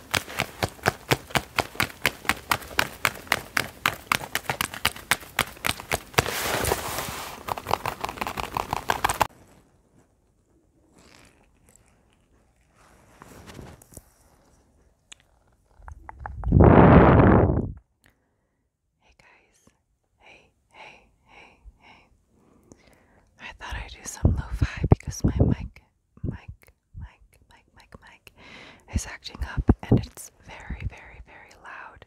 Hey guys, hey, hey, hey, hey. I thought I'd do some lo-fi because my mic mic Mike, Mike, Mike, Mike is acting up, and it's very, very, very loud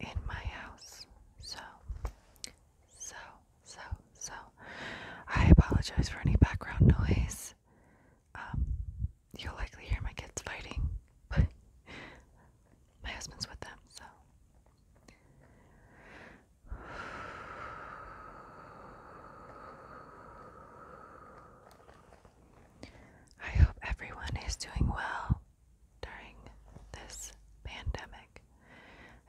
in my house. So, so, so, so, I apologize for any background noise. Um, you'll likely hear my kids fighting, but my husband's with them, so. I hope everyone is doing well during this pandemic.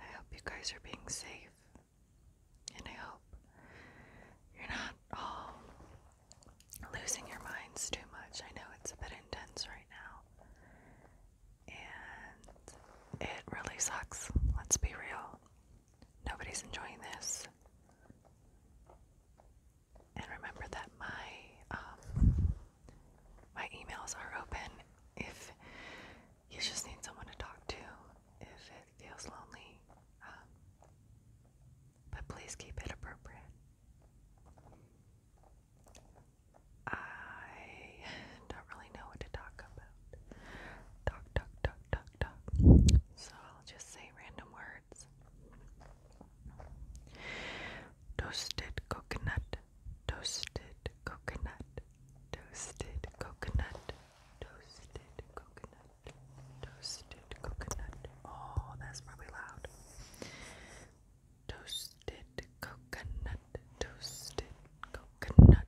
I hope you guys are being safe. And I hope you're not all losing your minds too much. I know it's a bit intense right now. And it really sucks. Let's be real. Nobody's enjoying this. And remember that my um, my emails are open if you just need someone to talk to if it feels lonely. Um, but please keep it appropriate. I don't really know what to talk about. Talk, talk, talk, talk, talk. So I'll just say random words. Toasted coconut, toasted coconut, toasted coconut, toasted coconut, toasted coconut. Oh, that's probably loud. Toasted coconut, toasted coconut,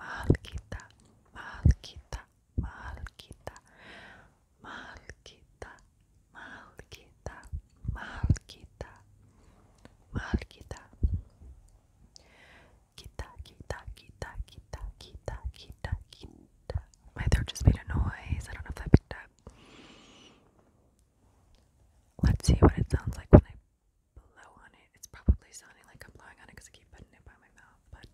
Malquita, Malquita, Malquita, Malquita, Malquita, Malquita, Malquita, Kita, Kita, Kita, Kita, Kita, Kita, Kita. My throat just made a noise. I don't know if that picked up. Let's see what it sounds like blow on it. It's probably sounding like I'm blowing on it because I keep putting it by my mouth, but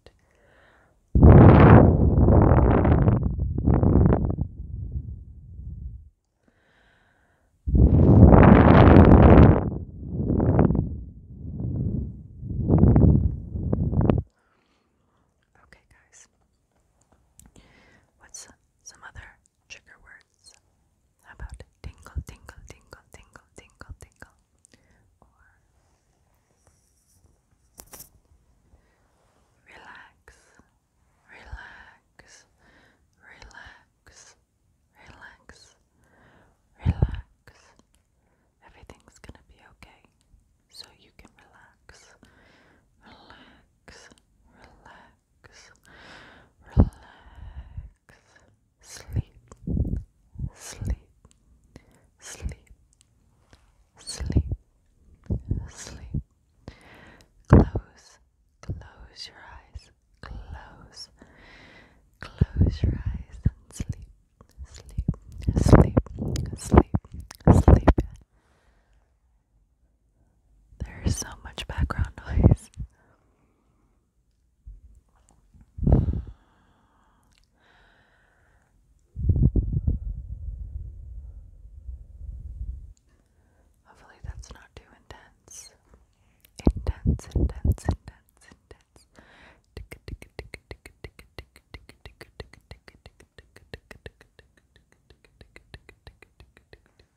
Okay, guys. What's some other trigger words. about tingle, tingle, tingle, tingle, tingle, tingle? relax, relax, relax, relax, relax. Everything's gonna be okay, so you can relax, relax, relax. Relax, Sleep, sleep, sleep, sleep, sleep, sleep. Close, close your eyes, close, close your eyes and sleep, sleep, sleep, sleep, sleep. There is so much background noise. Hopefully, that's not too intense. Intense, intense, intense, intense.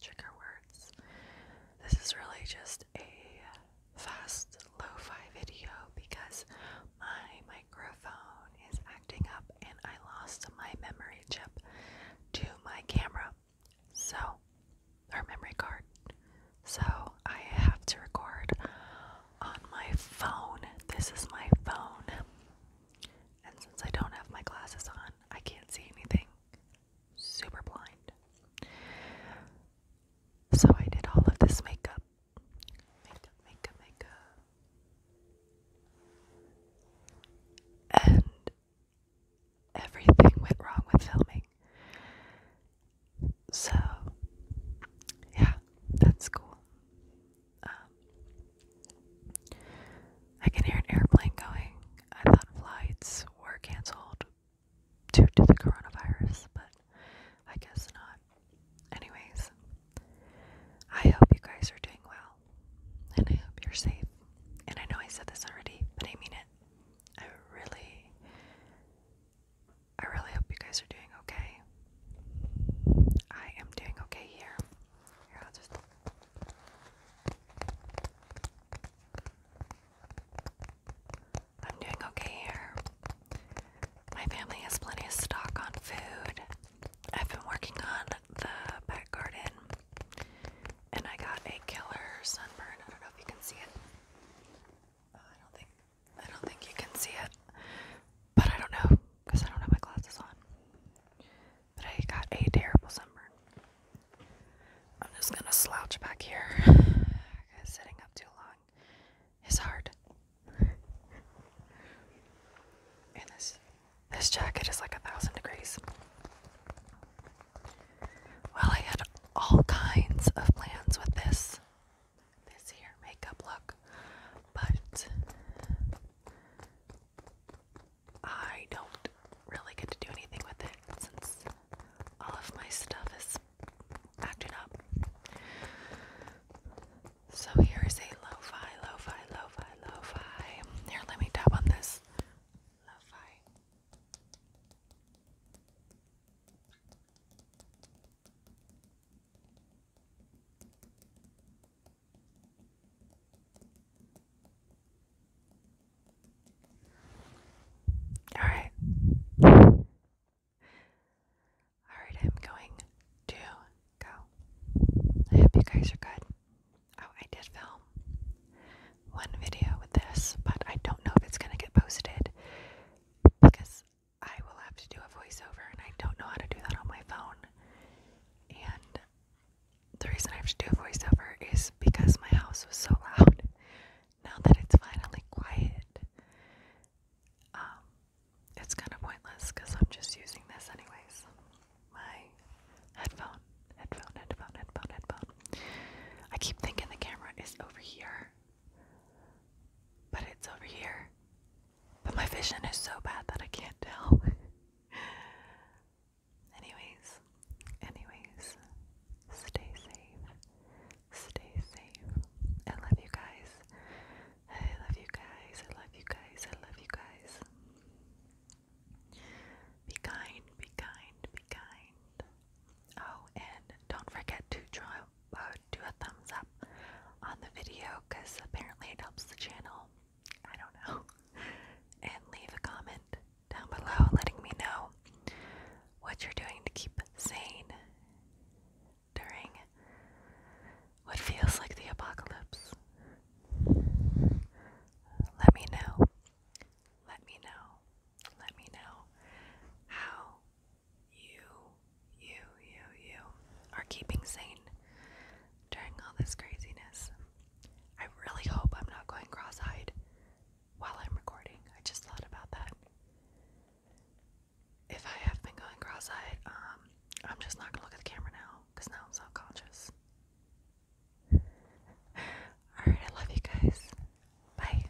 trigger words. This is really just a fast lo fi video because my microphone is acting up and I lost my memory chip to my camera. So, or memory card. So, I have to record on my phone. This is my phone. And since I don't have my glasses on, I can't see anything. Super blind. So I did all of this makeup. Makeup, makeup, makeup. And everything went wrong with filming. So, yeah, that's cool. Um, I can hear an airplane going. I thought flights were canceled due to the coronavirus, but I guess not. Anyways, I hope you guys are doing well, and I hope you're safe. And I know I said this already, but I mean it. I really, I really hope you guys are doing okay. I am doing okay here. Here, I'll just I'm doing okay here. My family has plenty of stock on food. I've been working on the back garden and I got a killer sunburn. I don't know if you can see it. Uh, I don't think I don't think you can see it. But I don't know because I don't have my glasses on. But I got a terrible sunburn. I'm just gonna slouch back here. Because sitting up too long is hard. and this this jacket is like a thousand degrees. Well, I had all kinds of plans with this this here makeup look, but I don't really get to do anything with it since all of my stuff is acting up. So here is a lo-fi, lo-fi, lo-fi, lo-fi. Here, let me tap on this. lo all right. All right, I'm going to go. I hope you guys are good. Oh, I did film one video with this, but I don't know if it's going to get posted because I will have to do a voiceover, and I don't know how to do that on my phone. And the reason I have to do a voiceover is because my house was so loud. Now that it's finally quiet, um, it's kind of pointless because I'm just using this anyways. My headphone, headphone, headphone, headphone, headphone. I keep thinking the camera is over here, but it's over here. But my vision is so bad that I can't tell. anyways, anyways, stay safe. Stay safe. I love you guys. I love you guys. I love you guys. I love you guys. Be kind, be kind, be kind. Oh, and don't forget to draw uh, do a thumbs up on the video because apparently it helps the channel. I don't know. And leave a comment down below letting me know what you're doing to keep sane during what feels like the apocalypse. Let me know. Let me know. Let me know how you, you, you, you are keeping sane during all this craziness. I really hope I'm not going cross eyed while I'm recording. I just thought about that. If I have been going cross eyed, um, I'm just not gonna look at the camera now because now I'm self conscious. Alright, I love you guys. Bye.